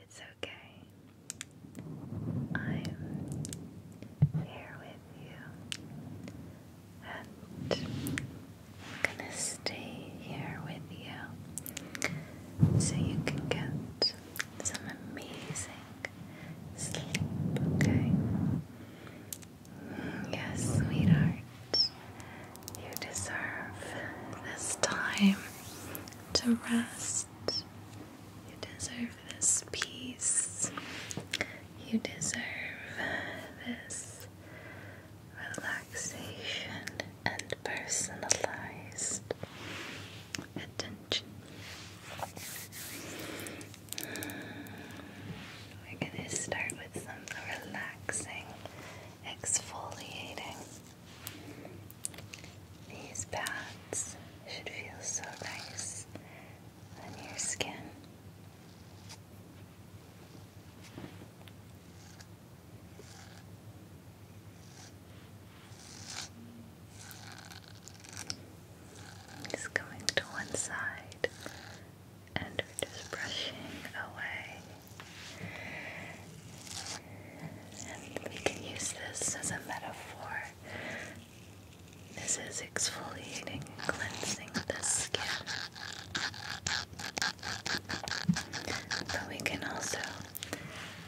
It's okay. I'm here with you, and I'm gonna stay here with you so you can get some amazing sleep, okay? Yes, sweetheart. You deserve this time to rest. You deserve this peace. You deserve this relaxation and personalized attention we're going to start with some relaxing exfoliating. These pads should feel so nice on your skin. It's going to one side and we're just brushing away. And we can use this as a metaphor. This is exfoliating and cleansing the skin. But we can also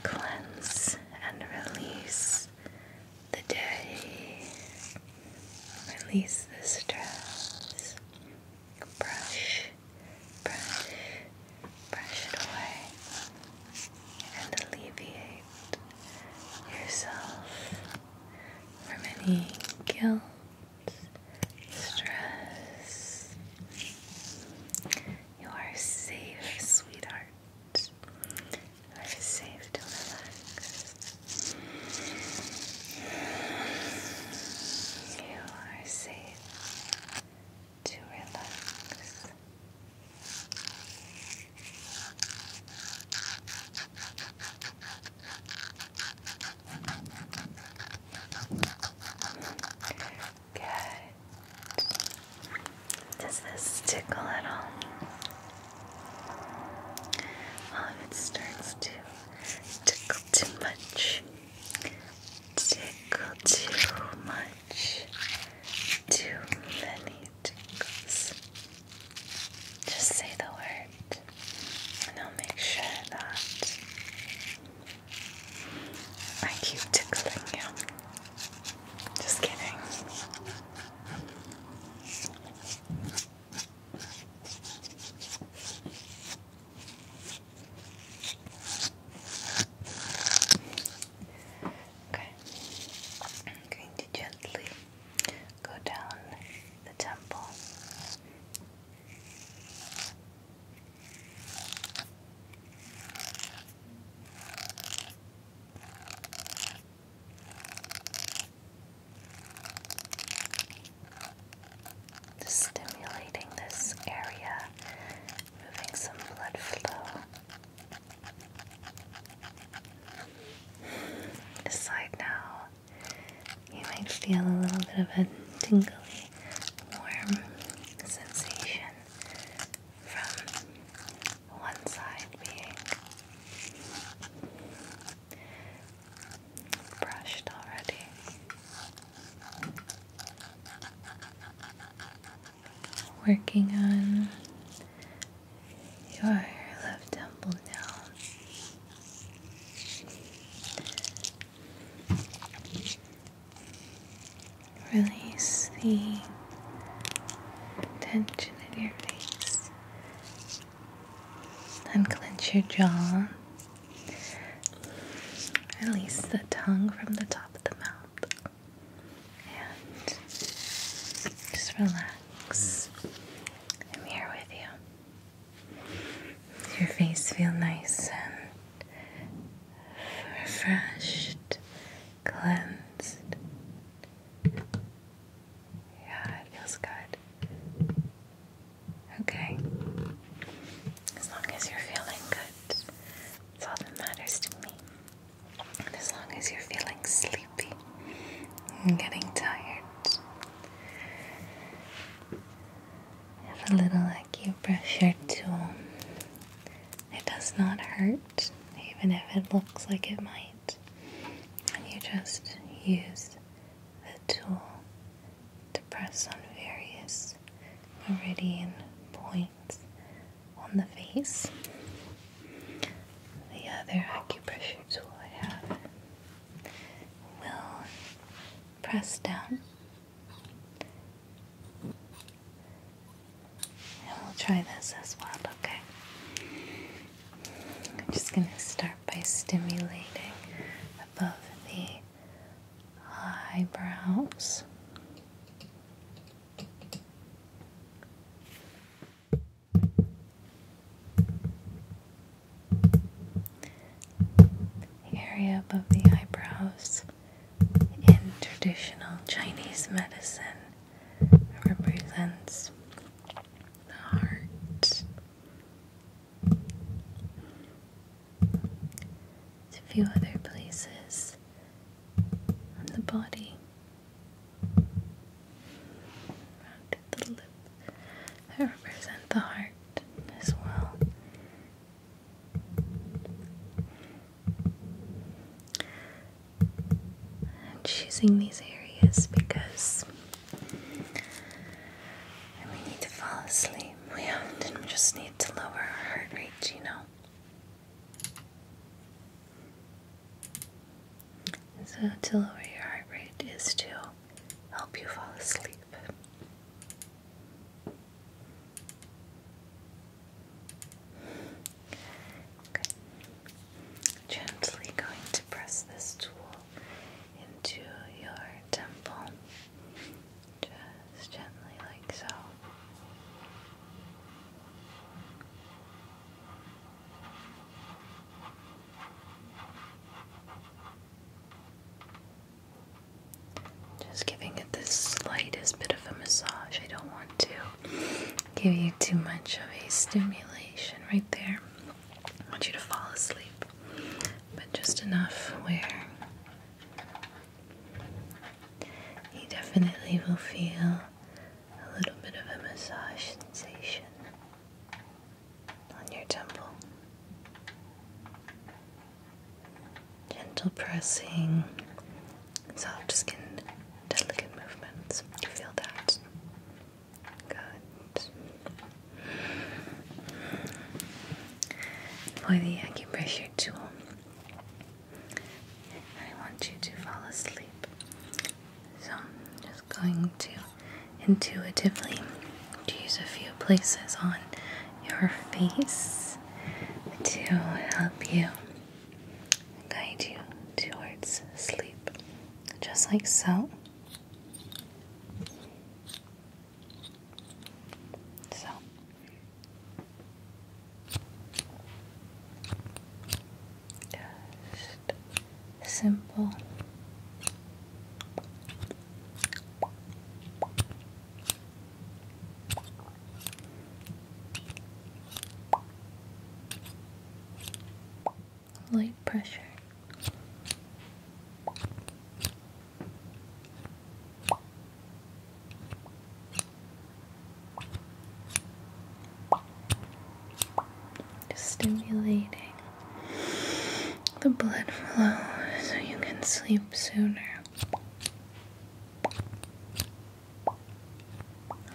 cleanse and release the day, release the stress, brush, brush, brush it away, and alleviate yourself from any guilt, stress. You are safe, sweetheart. You are safe to relax. You are safe to relax. Good. Does this tickle at all? if oh, it starts to Tickle too much. Tickle too much. Too many tickles. Just say the word, and I'll make sure that I keep tickling you. Just kidding. Okay, I'm going to gently go down the temple. Just stimulating this area, moving some blood flow. Decide now, you might feel a little bit of a tingly, warm sensation from one side being brushed already. Working on your left temple now. Release the tension in your face Unclench your jaw. Release the tongue from the top of the mouth. And just relax. I'm here with you. Your face feel nice and refreshed, cleansed. Yeah, it feels good. Okay. As long as you're feeling good, that's all that matters to me. And as long as you're feeling sleepy and getting tired, have a little acupressure tool. It does not hurt, even if it looks like it might. And you just use the tool to press on various meridian points on the face. The other acupressure tool I have will press down. And we'll try this as well, okay? I'm just going to start by stimulating above the eyebrows. The area above the eyebrows in traditional Chinese medicine represents the heart to a few other places on the body, around the lip that represent the heart as well. I'm choosing these areas because we need to fall asleep. We often just need to lower our heart rate, you know. So, to lower your heart rate is to help you fall asleep. Okay. Gently going to press this tool into your temple, just gently like so. Just giving it the slightest bit of a massage. I don't want to give you too much of a stimulation right there. I want you to fall asleep, but just enough where you definitely will feel a little bit of a massage sensation on your temple. Gentle pressing, soft skin, delicate movements. feel that. Good. For the acupressure tool, I want you to fall asleep. So I'm just going to intuitively use a few places on your face to help you guide you towards sleep, just like so. So just simple light pressure. stimulating the blood flow so you can sleep sooner.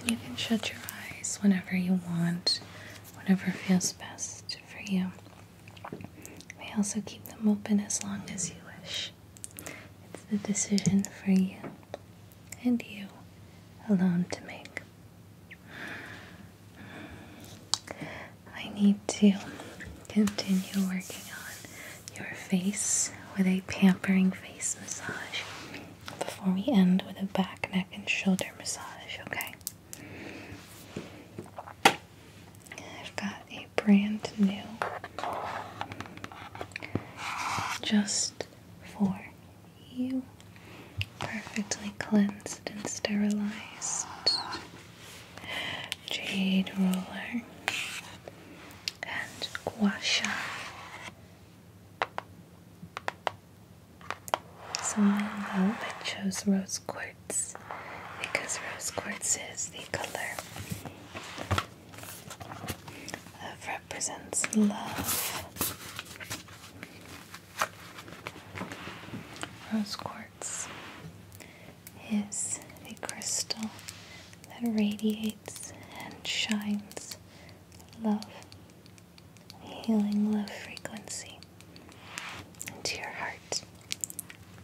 You can shut your eyes whenever you want, whatever feels best for you. You also keep them open as long as you wish. It's the decision for you and you alone to make. I need to continue working on your face with a pampering face massage before we end with a back, neck, and shoulder massage, okay? I've got a brand new, just for you, perfectly cleansed and sterilized jade roller and gua so I chose rose quartz because rose quartz is the color that represents love. Rose quartz is a crystal that radiates and shines love, healing love frequency into your heart.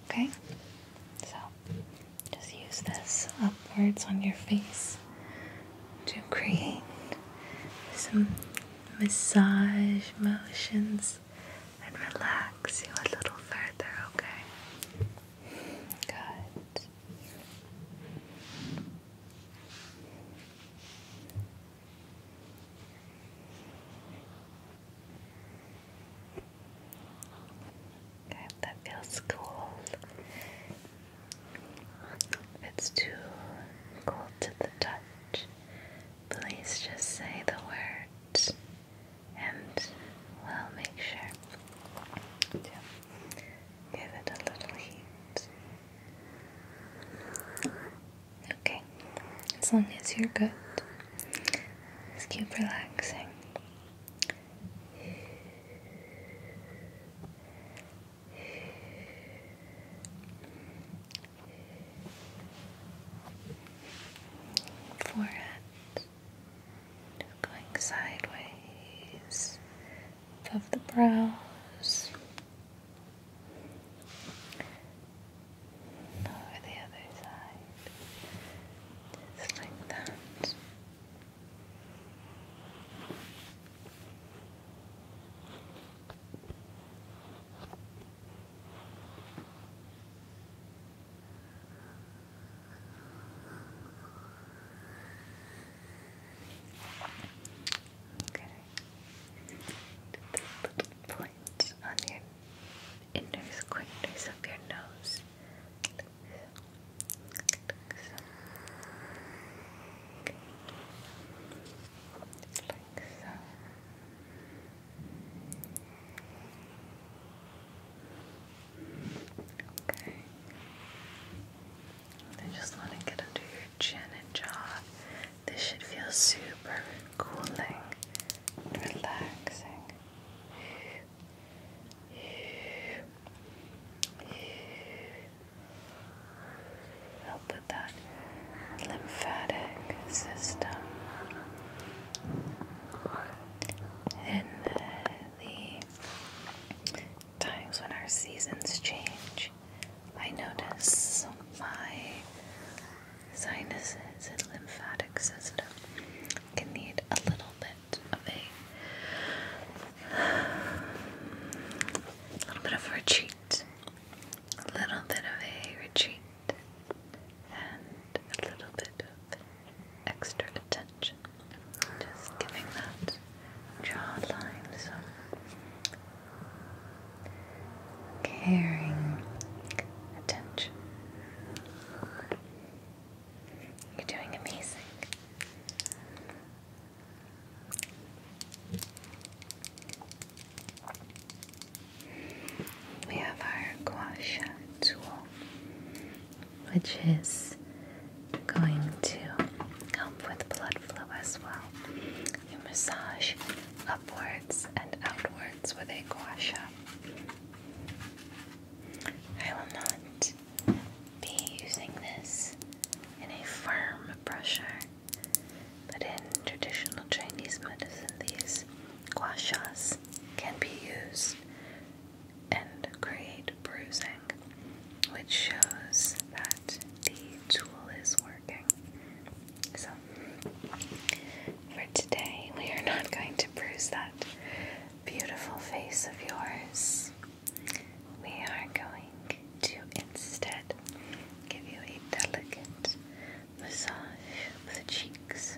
Okay? So just use this upwards on your face to create some massage motions and relax you a little further, okay? Good. Okay, that feels cool. If it's too cold to the touch, please just say the word and we'll make sure to give it a little heat. Okay, as long as you're good, just keep relaxing. Forehead going sideways above the brows. Over the other side, just like that. Okay the little points on your inner corners of your nose. Like so. Like so. Okay. I just want to get under your chin and jaw this should feel super cooling and relaxing. Help with that lymphatic system in the times when our seasons change. I notice my sinuses and lymphatic system can need a little bit of a, a little bit of a retreat, a little bit of a retreat, and a little bit of extra attention. Just giving that jawline some caring attention. You're doing amazing. We have our gua tool, which is going to help with blood flow as well. You massage upwards and outwards with a guasha. I will not be using this in a firm brusher, but in traditional Chinese medicine, these gua can be used and create bruising, which shows that the tool is working. So for today, we are not going to bruise that beautiful face of yours. We are going to instead give you a delicate massage of the cheeks.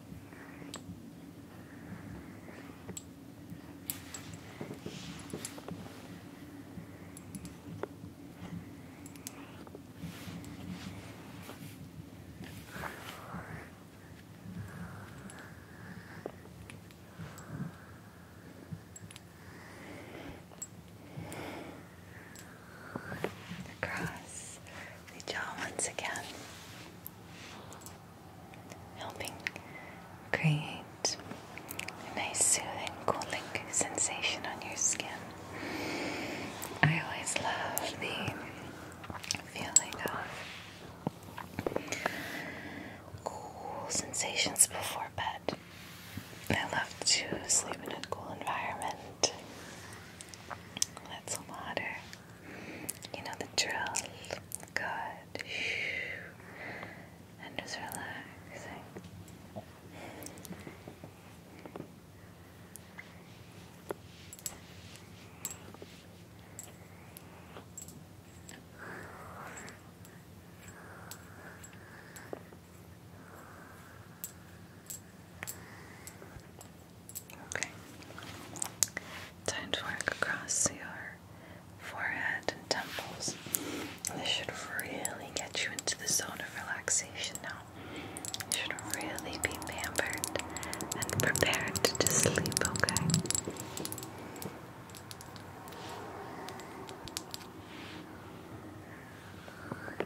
Across the jaw once again helping create a nice soothing, cooling sensation on your skin. I always love the feeling of cool sensations before bed. I love to sleep in a cool environment. That's a water. You know the drill. Good. And just relaxing. Okay. Time to work across your forehead and temples. This should really get you into the zone of relaxation now. You should really be pampered and prepared to sleep, okay? Okay.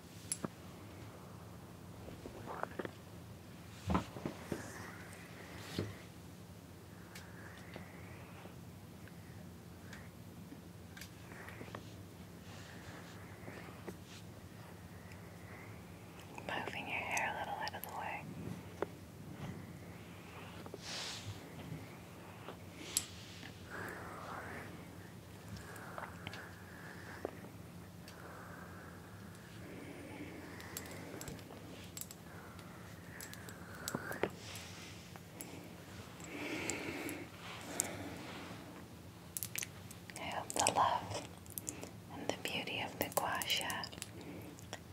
Moving your hair a little out of the way. I hope the love and the beauty of the gua sha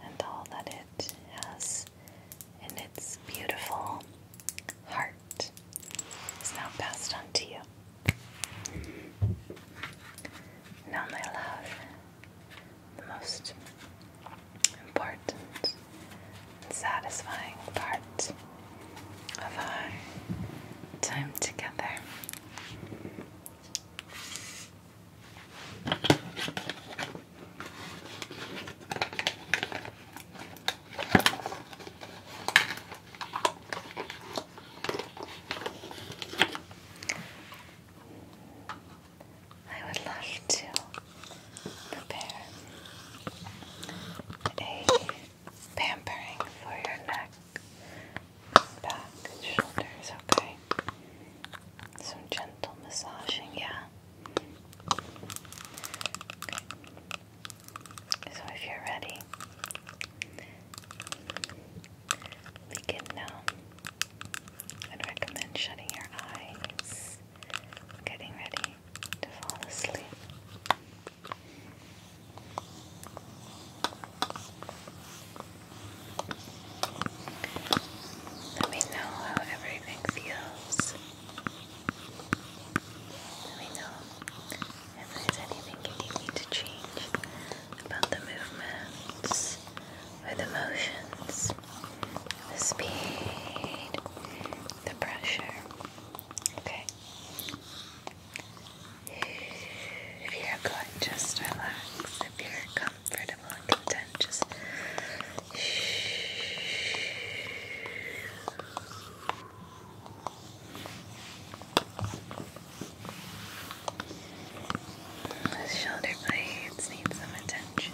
and all that it has in its beautiful heart is now passed on to you. Now, my love, the most important and satisfying part of our time together. I would love to prepare a pampering for your neck, back, and shoulders, okay? Some gentle massaging, yeah. So if you're ready, we now. Uh, I'd recommend shutting your eyes, getting ready to fall asleep. Let me know how everything feels. Let me know if there's anything you need to change about the movements or the motions, the speed, the pressure. Okay? If you're good, just relax. If you're comfortable and content, just those shoulder blades need some attention.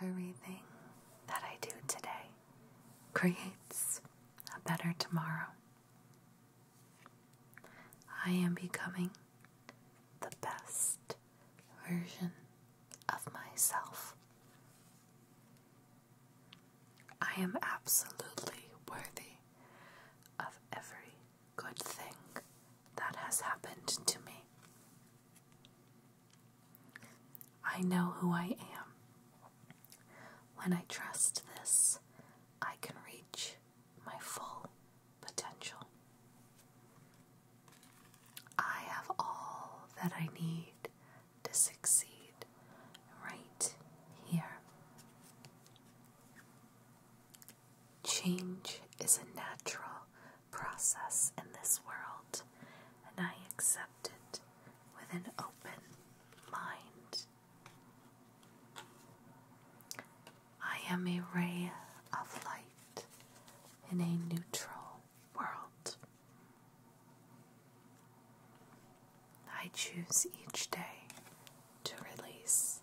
Everything that I do today creates a better tomorrow. I am becoming the best version of myself. I am absolutely worthy of every good thing that has happened to me. I know who I am. When I trust this, I can reach my full potential. I have all that I need to succeed right here. Change is a natural process in this world, and I accept it with an open mind. I am a ray of light in a neutral world. I choose each day to release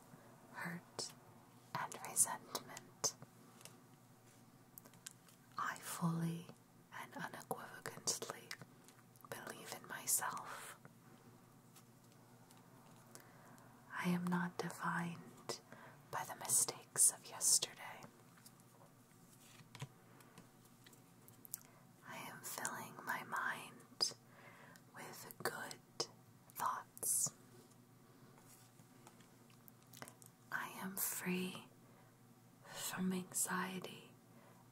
hurt and resentment. I fully and unequivocally believe in myself. I am not defined by the mistakes of yesterday. I am filling my mind with good thoughts. I am free from anxiety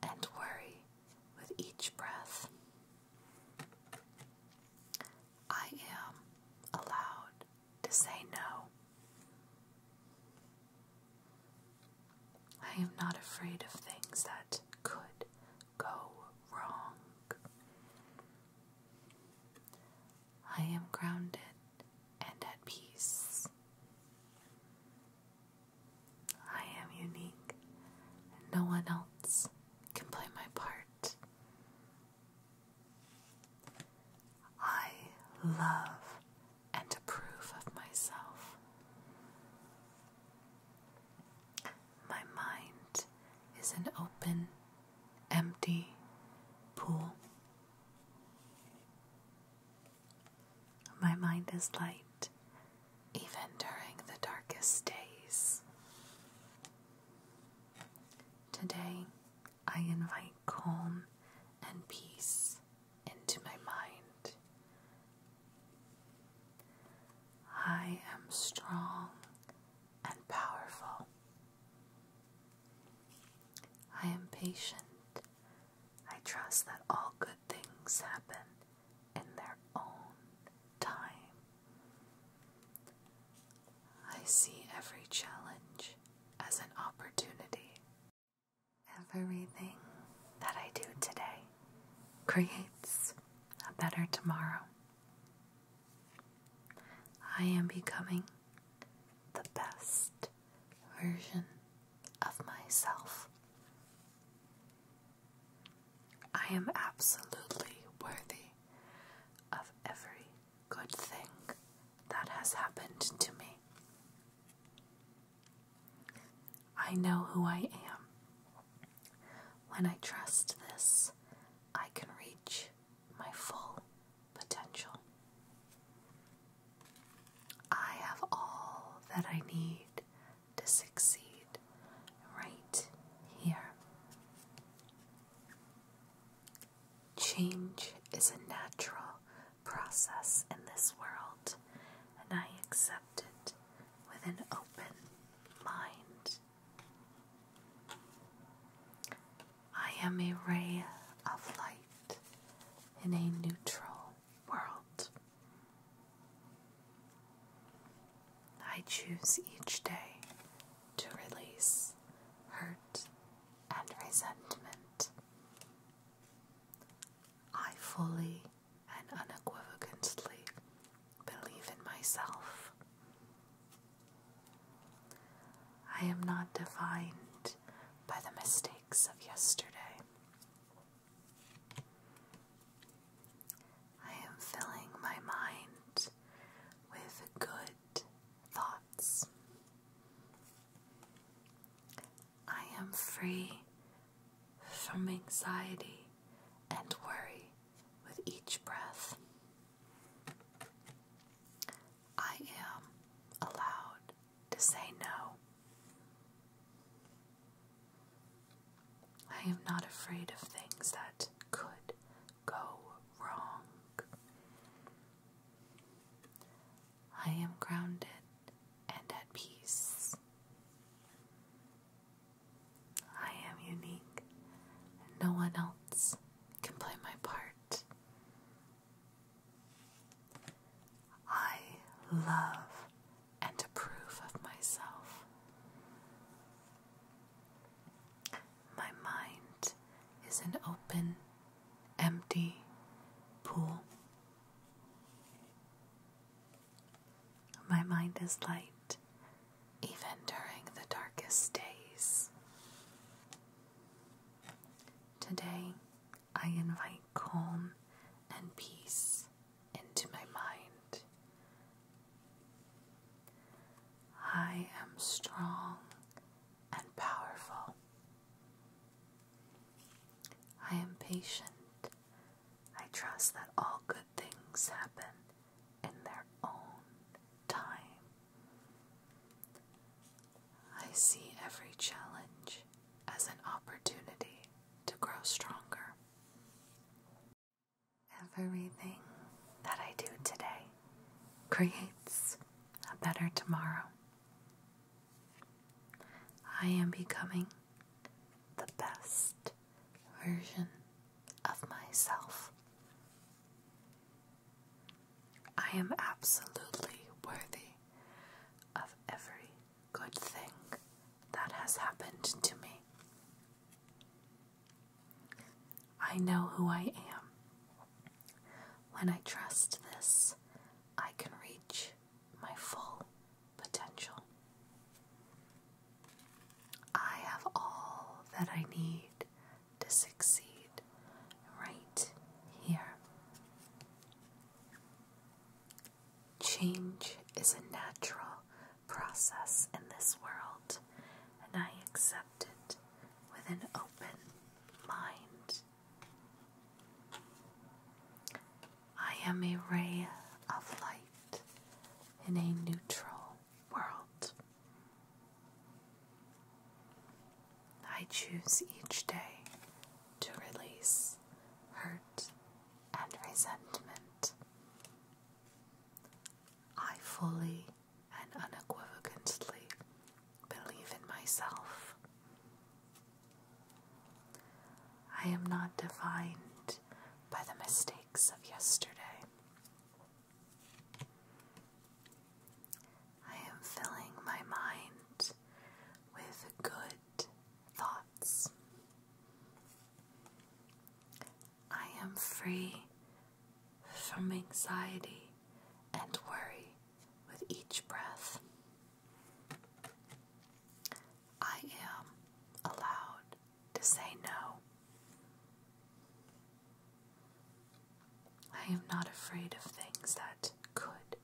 and worry with each breath. I am allowed to say no. I am not afraid of things that could go wrong. I am grounded and at peace. I am unique, and no one else can play my part. I love and approve of myself. My mind is an open, empty pool. My mind is light even during the darkest days. Today, I invite calm and peace into my mind. I am strong and powerful. I am patient. I trust that all good things happen in their own time. I see every challenge as an opportunity. Everything that I do today creates a better tomorrow. I am becoming the best version of myself. I am absolutely worthy of every good thing that has happened to me. I know who I am. When I trust this, I can reach my full potential. I have all that I need to succeed right here. Change is a natural process in this world, and I accept with an open mind. I am a ray of light in a neutral world. I choose each day to release hurt and resentment. I fully and unequivocally believe in myself. I am not defined by the mistakes of yesterday. I am filling my mind with good thoughts. I am free from anxiety and worry with each breath. I am allowed to say no. I am not afraid of things that could go wrong. I am grounded and at peace. I am unique, and no one else can play my part. I love and approve of myself. My mind is an open, empty pool. My mind is light, even during the darkest days. Today, I invite calm and peace into my mind. I am strong and powerful. I am patient I trust that all good things happen in their own time. I see every challenge as an opportunity to grow stronger. Everything that I do today creates a better tomorrow. I am becoming the best version of myself. I am absolutely worthy of every good thing that has happened to me. I know who I am. When I trust this, I can reach my full potential. I have all that I need to succeed right here. Change is a natural process in this world, and I accept it with an open mind. I am a ray of light in a neutral world. I choose each day to release hurt and resentment. I fully and unequivocally believe in myself. I am not defined by the mistakes of yesterday. I am filling my mind with good thoughts. I am free from anxiety and worry with each breath. I am allowed to say no. I am not afraid of things that could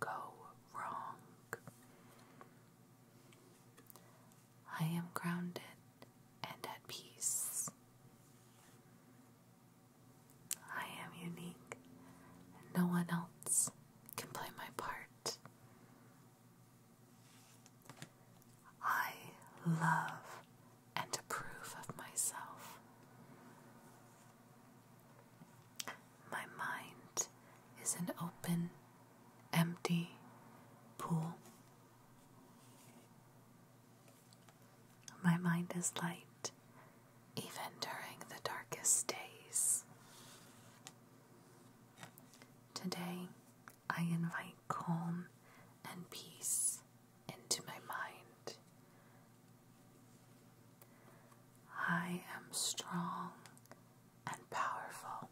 go wrong. I am grounded and at peace. I am unique, and no one else can play my part. I love and approve of myself. My mind is an open, empty pool. My mind is light even during the darkest days. Today, I invite calm and peace into my mind. I am strong and powerful.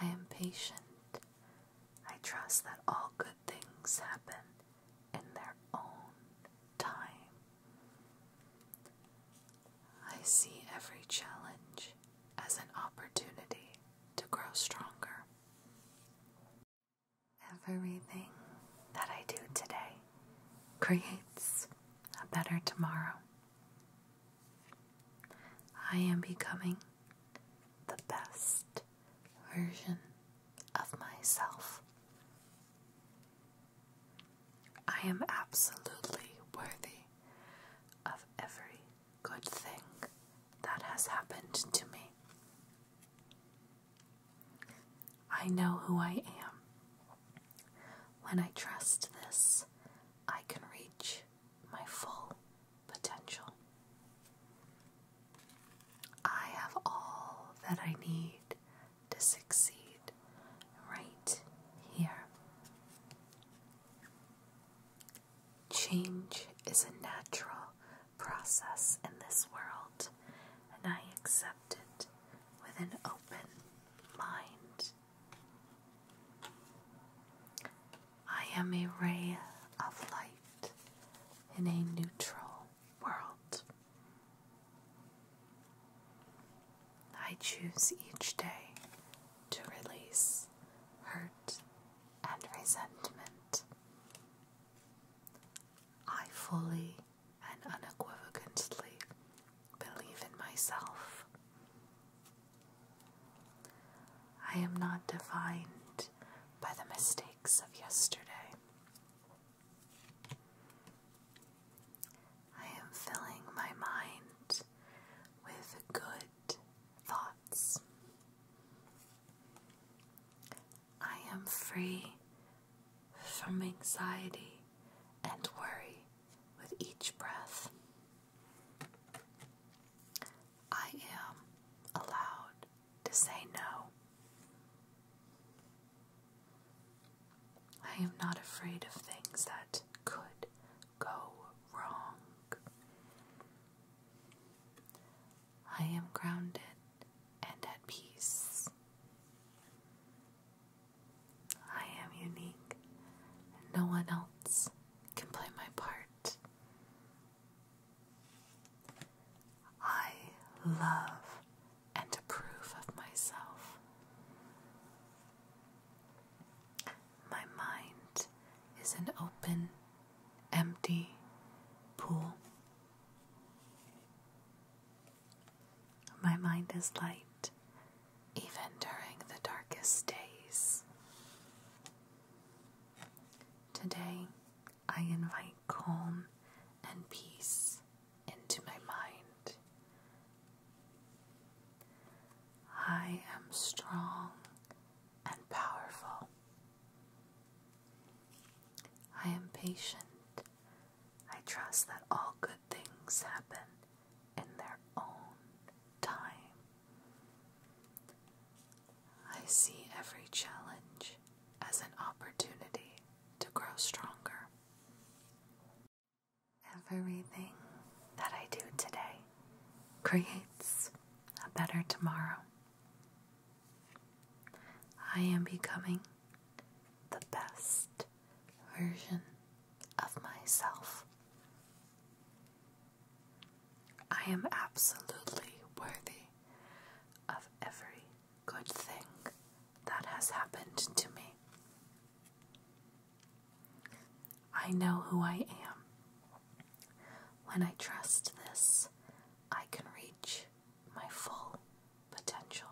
I am patient. I trust that all good things happen in their own time. I see every challenge as an opportunity to grow stronger. Everything that I do today creates a better tomorrow. I am becoming the best version of myself I am absolutely worthy of every good thing that has happened to me. I know who I am. When I trust this, I can reach my full potential. I have all that I need to succeed right here. Change is a natural process in this world, and I accept it with an open mind. I am a ray of light in a neutral world. I choose each day to release hurt and resentment. I fully and unequivocally believe in myself. I am not defined by the mistakes of yesterday. I am filling my mind with good thoughts. I am free from anxiety and worry with each breath. I am allowed to say no. I am not afraid of things that could go wrong. I am grounded and at peace. I am unique, and no one else can play my part. I love and a proof of myself. My mind is an open, empty pool. My mind is light even during the darkest days. Today, I invite calm and peace into my mind. I am strong and powerful. I am patient. I trust that all good things happen in their own time. I see every challenge as an opportunity to grow stronger. Everything that I do today creates a better tomorrow. I am becoming the best version of myself. I am absolutely worthy of every good thing that has happened to me I know who I am. When I trust this, I can reach my full potential.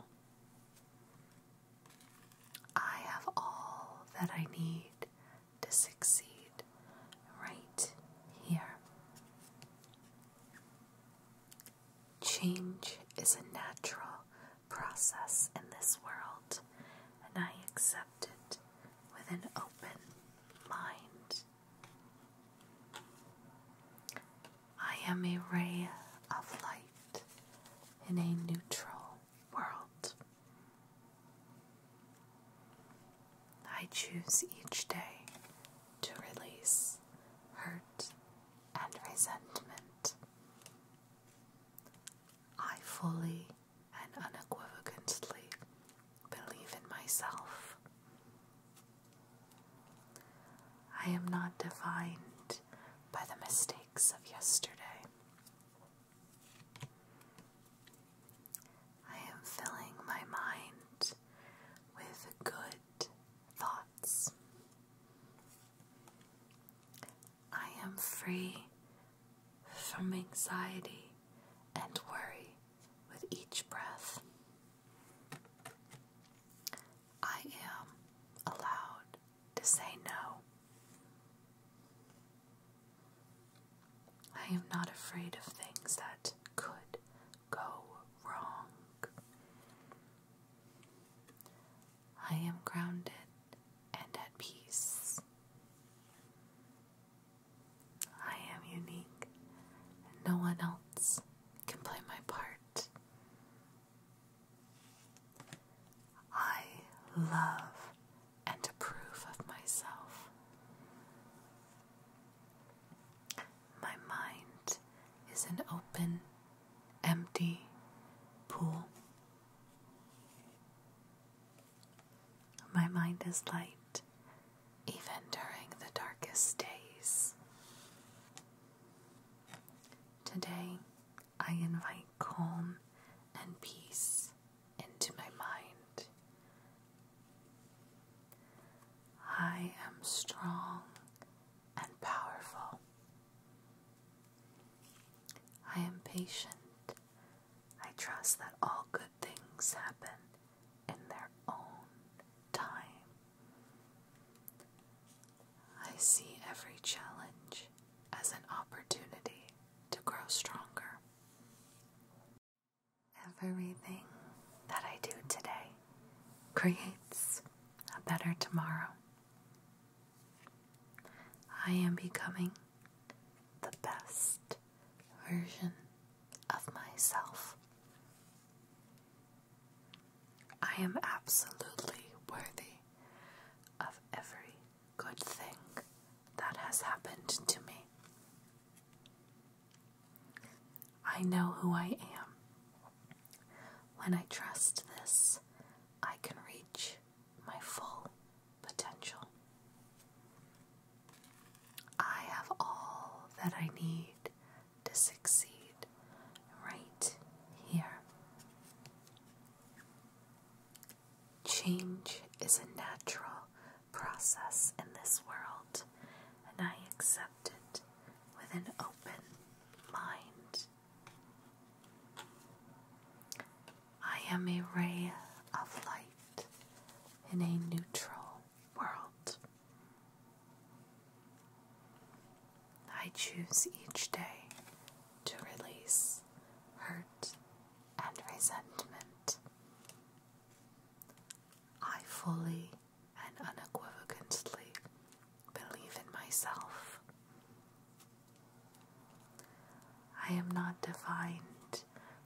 I have all that I need to succeed right here. Change is a natural process in this world, and I accept it with an open mind. I am a ray of light in a neutral world. I choose each day to release hurt and resentment. I fully and unequivocally believe in myself. I am not defined by the mistakes of yesterday. I am filling my mind with good thoughts. I am free from anxiety and worry with each breath. I am allowed to say no. I am not afraid of things that could go wrong. I am grounded and at peace. I am unique, and no one else can play my part. I love and approve of myself. My mind is an open empty pool. My mind is light even during the darkest days. Today, I invite calm and peace into my mind. I am strong and powerful. I am patient. I trust that all good things happen in their own time. I see every challenge as an opportunity to grow stronger. Everything that I do today creates a better tomorrow. I am becoming the best version of myself. I am absolutely worthy of every good thing that has happened to me. I know who I am. When I trust this, I can reach my full potential. I have all that I need to succeed right here. Change is a natural process in this world, and I accept it with an open mind. I am a ray of light in a neutral world. I choose each day to release hurt and resentment. I fully and unequivocally believe in myself. I am not defined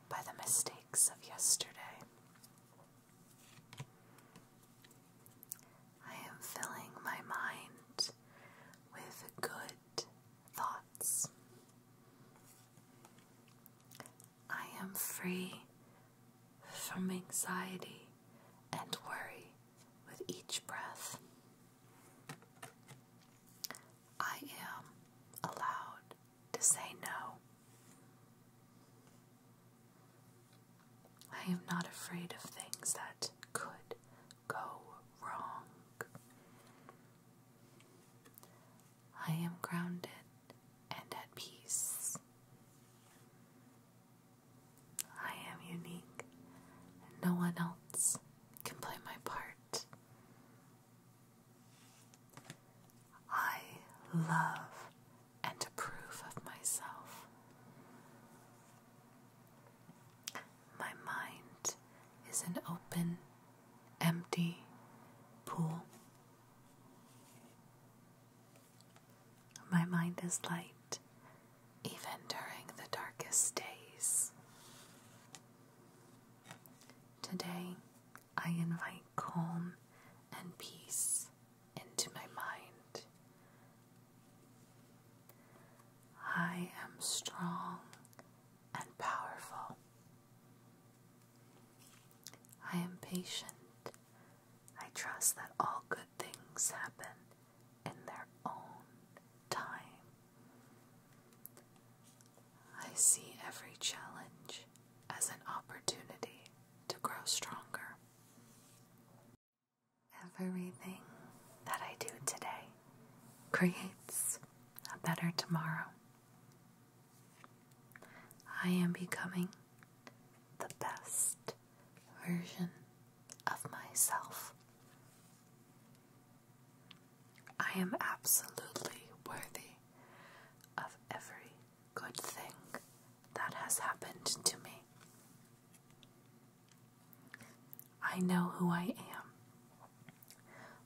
by the mistakes of yesterday. I am filling my mind with good thoughts. I am free from anxiety and worry with each breath. I am allowed to say no. I am not afraid of things that could go wrong. I am grounded and at peace. I am unique, and no one else can play my part. I love and approve of myself. My mind is an open, empty pool. My mind is light even during the darkest days. Today, I invite calm and peace into my mind. I am strong and powerful. I am patient. I trust that all good things happen in their own time. I see every challenge as an opportunity to grow stronger. Everything that I do today creates a better tomorrow. I am becoming the best version of myself. I am absolutely worthy of every good thing that has happened to me. I know who I am.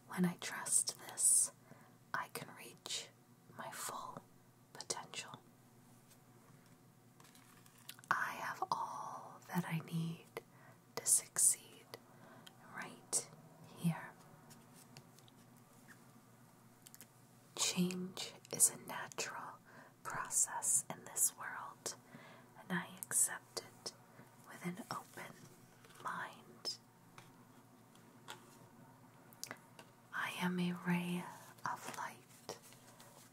When I trust this, I can reach my full potential. I have all that I need to succeed right here. Change is a natural process in this world, and I accept it with an open mind. I am a ray of light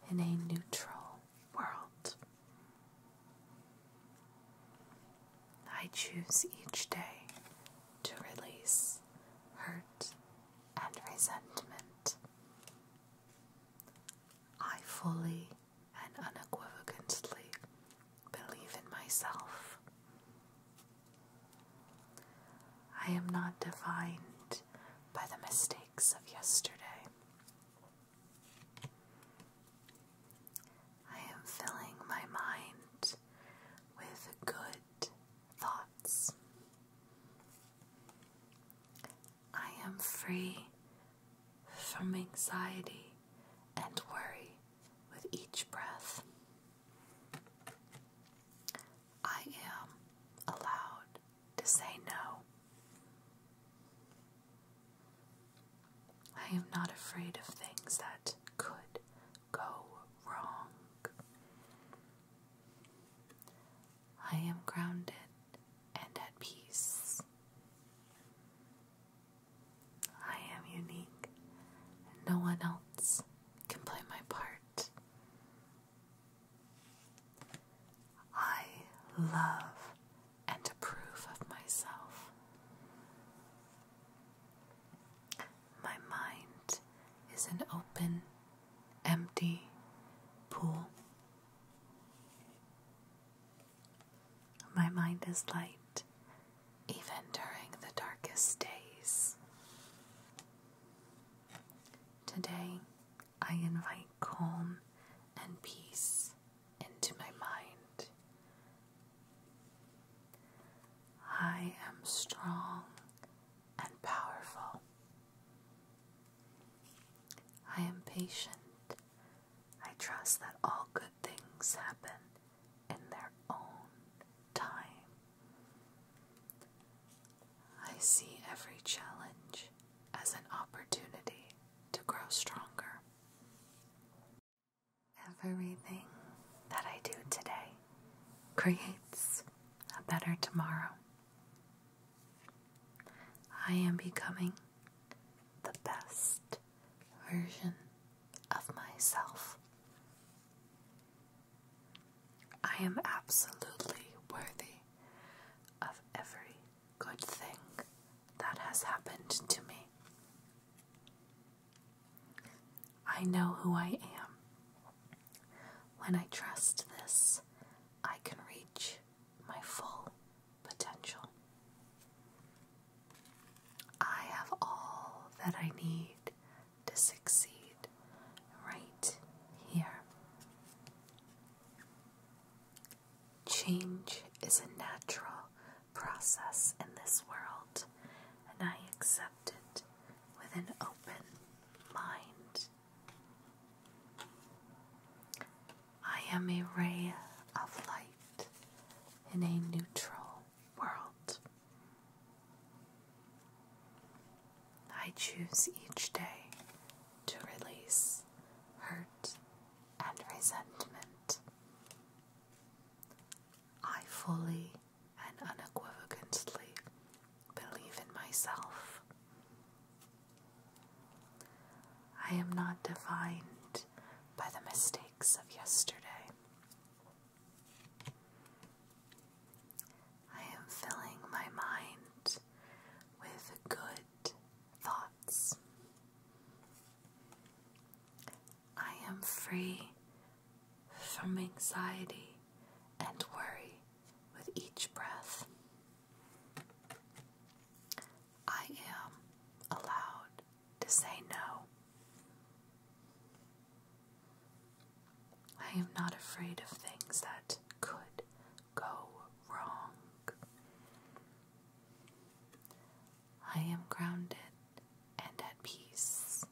in a neutral world. I choose each day to release hurt and resentment. I fully and unequivocally believe in myself. I am not defined by the mistakes of yesterday. I am filling my mind with good thoughts. I am free from anxiety and worry with each breath. I am allowed to say no. I am not afraid of things that could go wrong. I am grounded and at peace. I am unique, and no one else can play my part. I love and approve of myself. My mind is an open, empty pool. My mind is light even during the darkest days. Today, I invite calm and peace into my mind. I am strong and powerful. I am patient. I trust that all good things happen in their own time. I see every challenge as an opportunity to grow stronger. Everything that I do today creates a better tomorrow. I am becoming the best version of myself. I am absolutely worthy of every good thing that has happened to me. I know who I am. When I trust this, I can reach my full potential. I have all that I need to succeed right here. Change is a natural process in this world, and I accept it with an open mind. I am a ray of light in a neutral world. I choose each day to release hurt and resentment. I fully and unequivocally believe in myself. I am not defined by the mistakes of yesterday. I am filling my mind with good thoughts. I am free from anxiety and worry with each breath. I am allowed to say no. I am not afraid of things that could go wrong. I am grounded and at peace.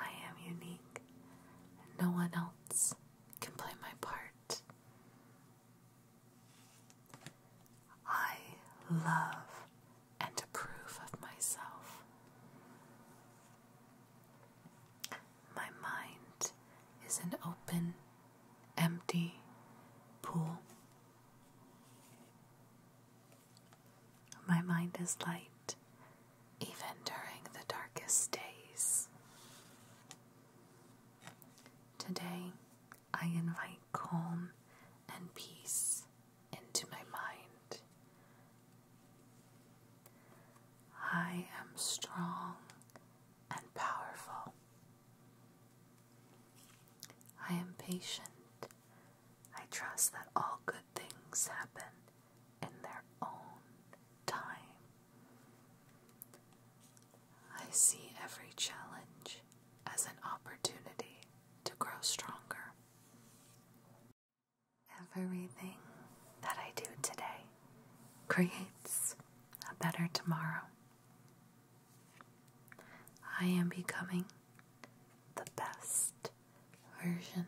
I am unique and no one else can play my part. I love and approve of myself. My mind is an open, empty pool. My mind is light even during the darkest days. Today, I invite calm and peace into my mind. I am strong and powerful. I am patient. I trust that all good things happen in their own time. I see every challenge as an opportunity to grow stronger. Everything that I do today creates a better tomorrow. I am becoming the best version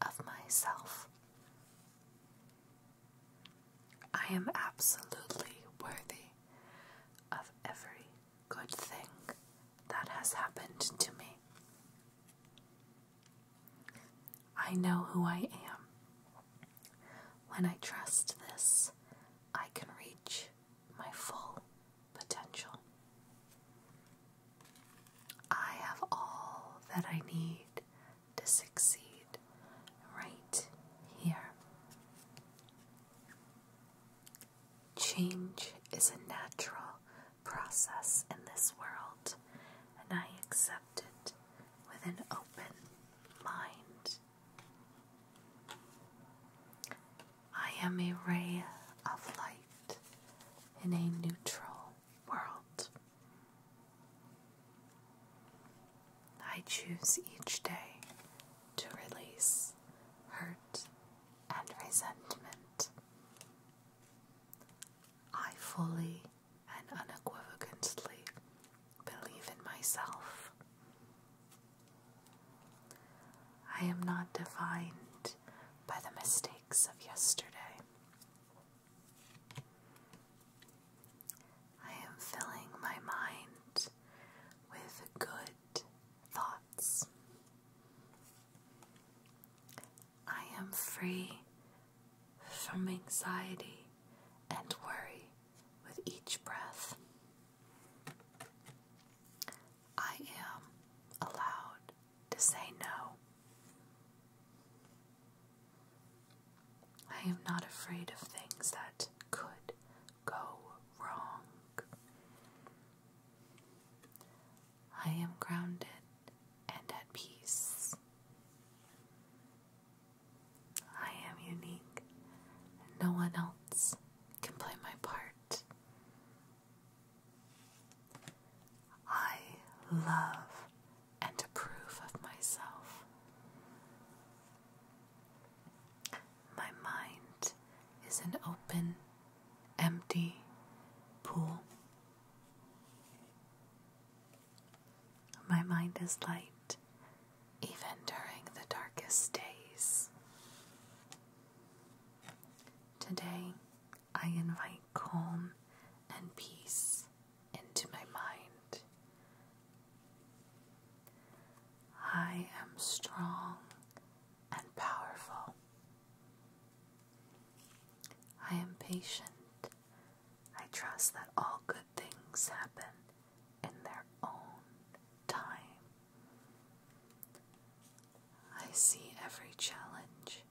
of myself. I am absolutely worthy of every good thing that has happened to me. I know who I am. When I trust this, I can reach my full potential. I have all that I need to succeed right here. Change is a natural process in this world, and I accept it with an open mind. I am a ray of light in a neutral world. I choose each day to release hurt and resentment. I fully and unequivocally believe in myself. I am not defined by the mistakes of yesterday. I am filling my mind with good thoughts. I am free from anxiety and worry with each breath. I am allowed to say no. I am not afraid of things that could go wrong. I am grounded and at peace. I am unique, and no one else can play my part. I love and approve of myself. My mind is an open, empty pool. My mind is light, even during the darkest days. Today, I invite calm and peace into my mind. I am strong and powerful. I am patient I trust that all good things happen in their own time. I see every challenge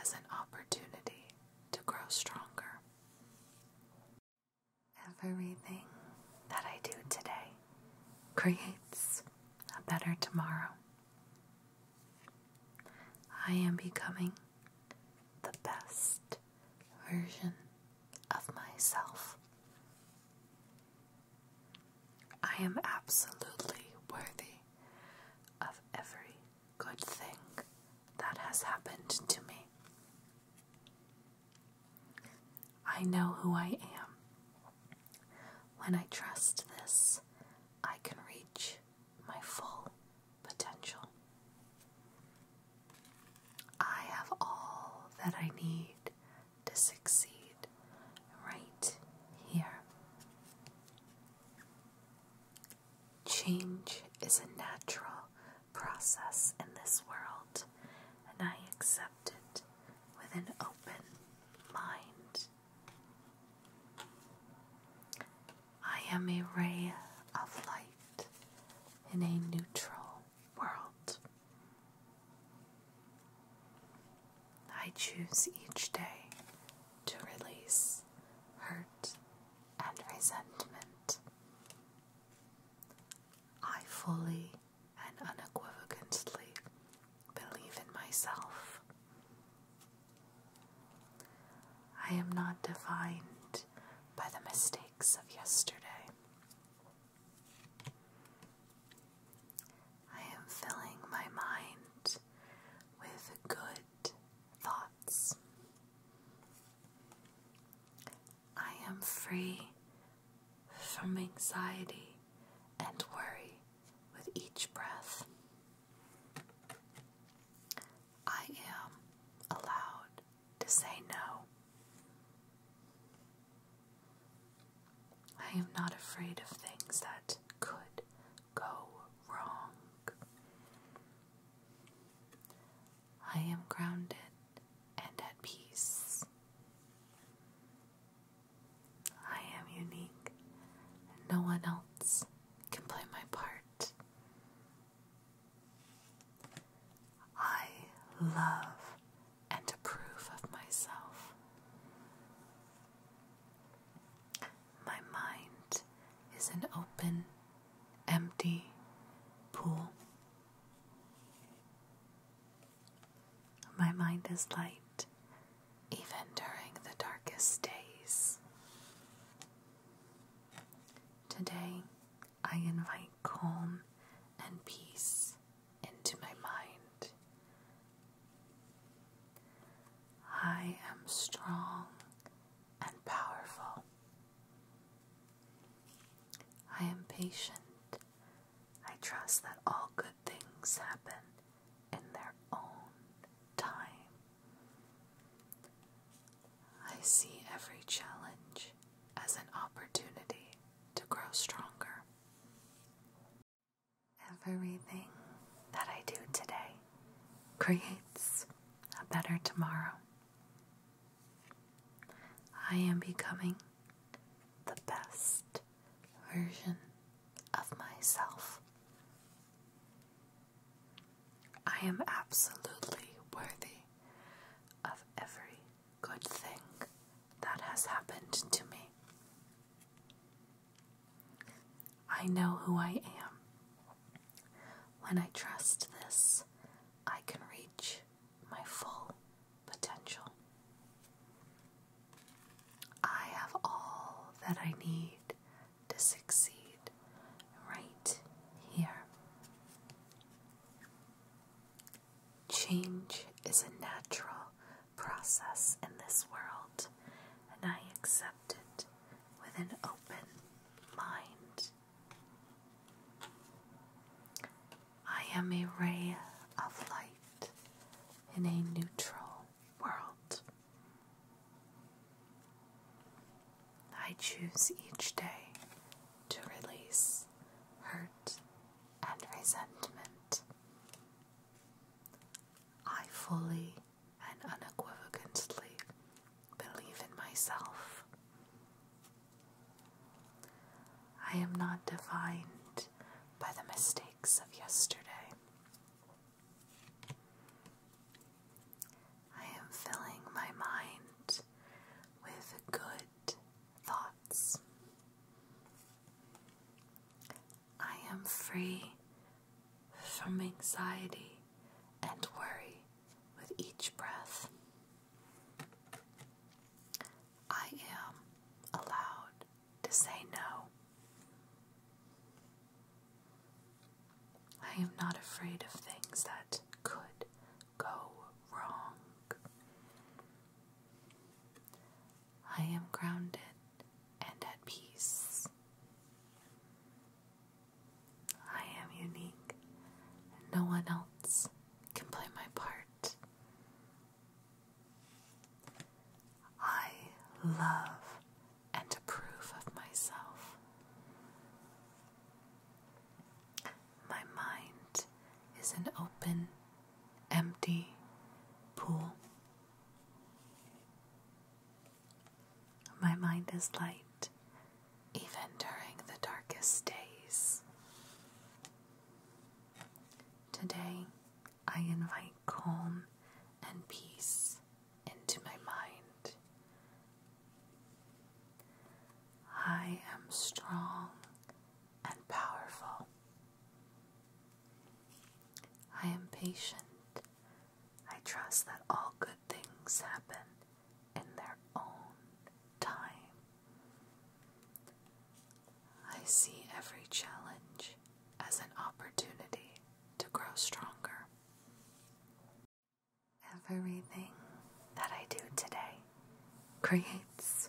as an opportunity to grow stronger. Everything that I do today creates a better tomorrow. I am becoming the best version of myself. I am absolutely worthy of every good thing that has happened to me. I know who I am. When I trust this, I can reach my full potential. I have all that I need to succeed right here. Change is a natural process in this world, and I accept it with an open mind. I am a ray of light in a neutral world. I choose each day to release hurt and resentment. I fully and unequivocally believe in myself. I am not defined by the mistakes of yesterday. I am filling my mind with good thoughts. I am free from anxiety and worry with each breath. I am allowed to say no. I am not afraid of things that could go wrong. I am grounded and at peace. I am unique, and no one else can play my part. I love and approve of myself. My mind is an open, empty pool. My mind is light even during the darkest days. Today, I invite calm and peace into my mind. I am strong and powerful. I am patient. I trust that all good things happen in their own time. I see every challenge as an opportunity to grow stronger. Everything that I do today creates a better tomorrow. I am becoming the best version of myself. I am absolutely worthy of every good thing that has happened to me. I know who I am. When I trust this, I can reach my full potential. I have all that I need to succeed right here. Change is a natural process in this world, and I accept it with an open mind. I am a ray of light in a neutral world. I choose each day to release hurt and resentment. I fully and unequivocally believe in myself. I am not defined by the mistakes of yesterday. I am filling my mind with good thoughts. I am free from anxiety and worry with each breath. I am allowed to say no. I am not afraid of things that could go wrong. I am grounded and at peace. I am unique, and no one else can play my part. I love and a proof of myself. My mind is an open, empty pool. My mind is light even during the darkest days. Today, I invite calm and peace into my mind. I am strong and powerful. I am patient. I trust that all good things happen in their own time. I see every challenge as an opportunity to grow stronger. Everything that I do today creates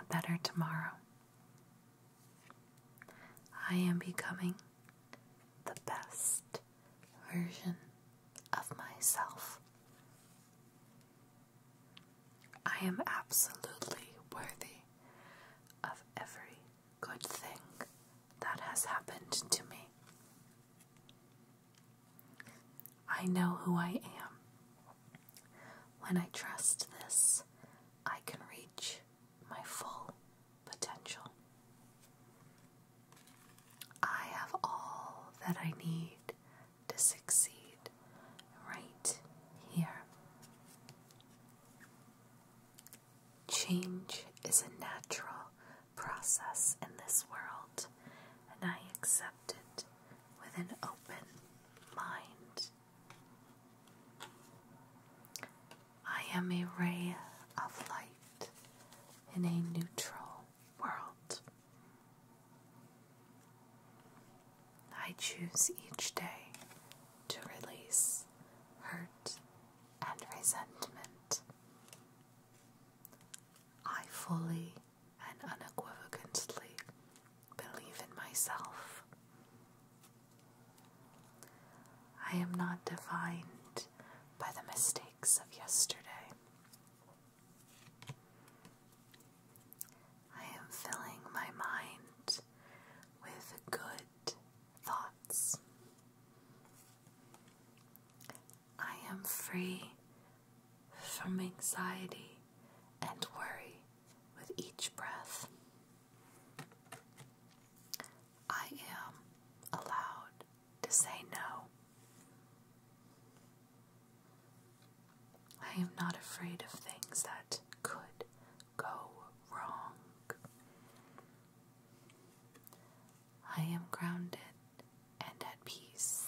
a better tomorrow. I am becoming the best version of myself. I am absolutely worthy of every good thing that has happened to me. I know who I am. When I trust this, I can reach my full potential. I have all that I need to succeed right here. Change is a natural process in this world, and I accept it with an open mind. I am a ray of light in a neutral world. I choose each day to release hurt and resentment. I fully and unequivocally believe in myself. I am not defined by the mistakes of yesterday. I am filling my mind with good thoughts. I am free from anxiety and worry with each breath. I am allowed to say no. I am not afraid of things that could go wrong. I am grounded and at peace.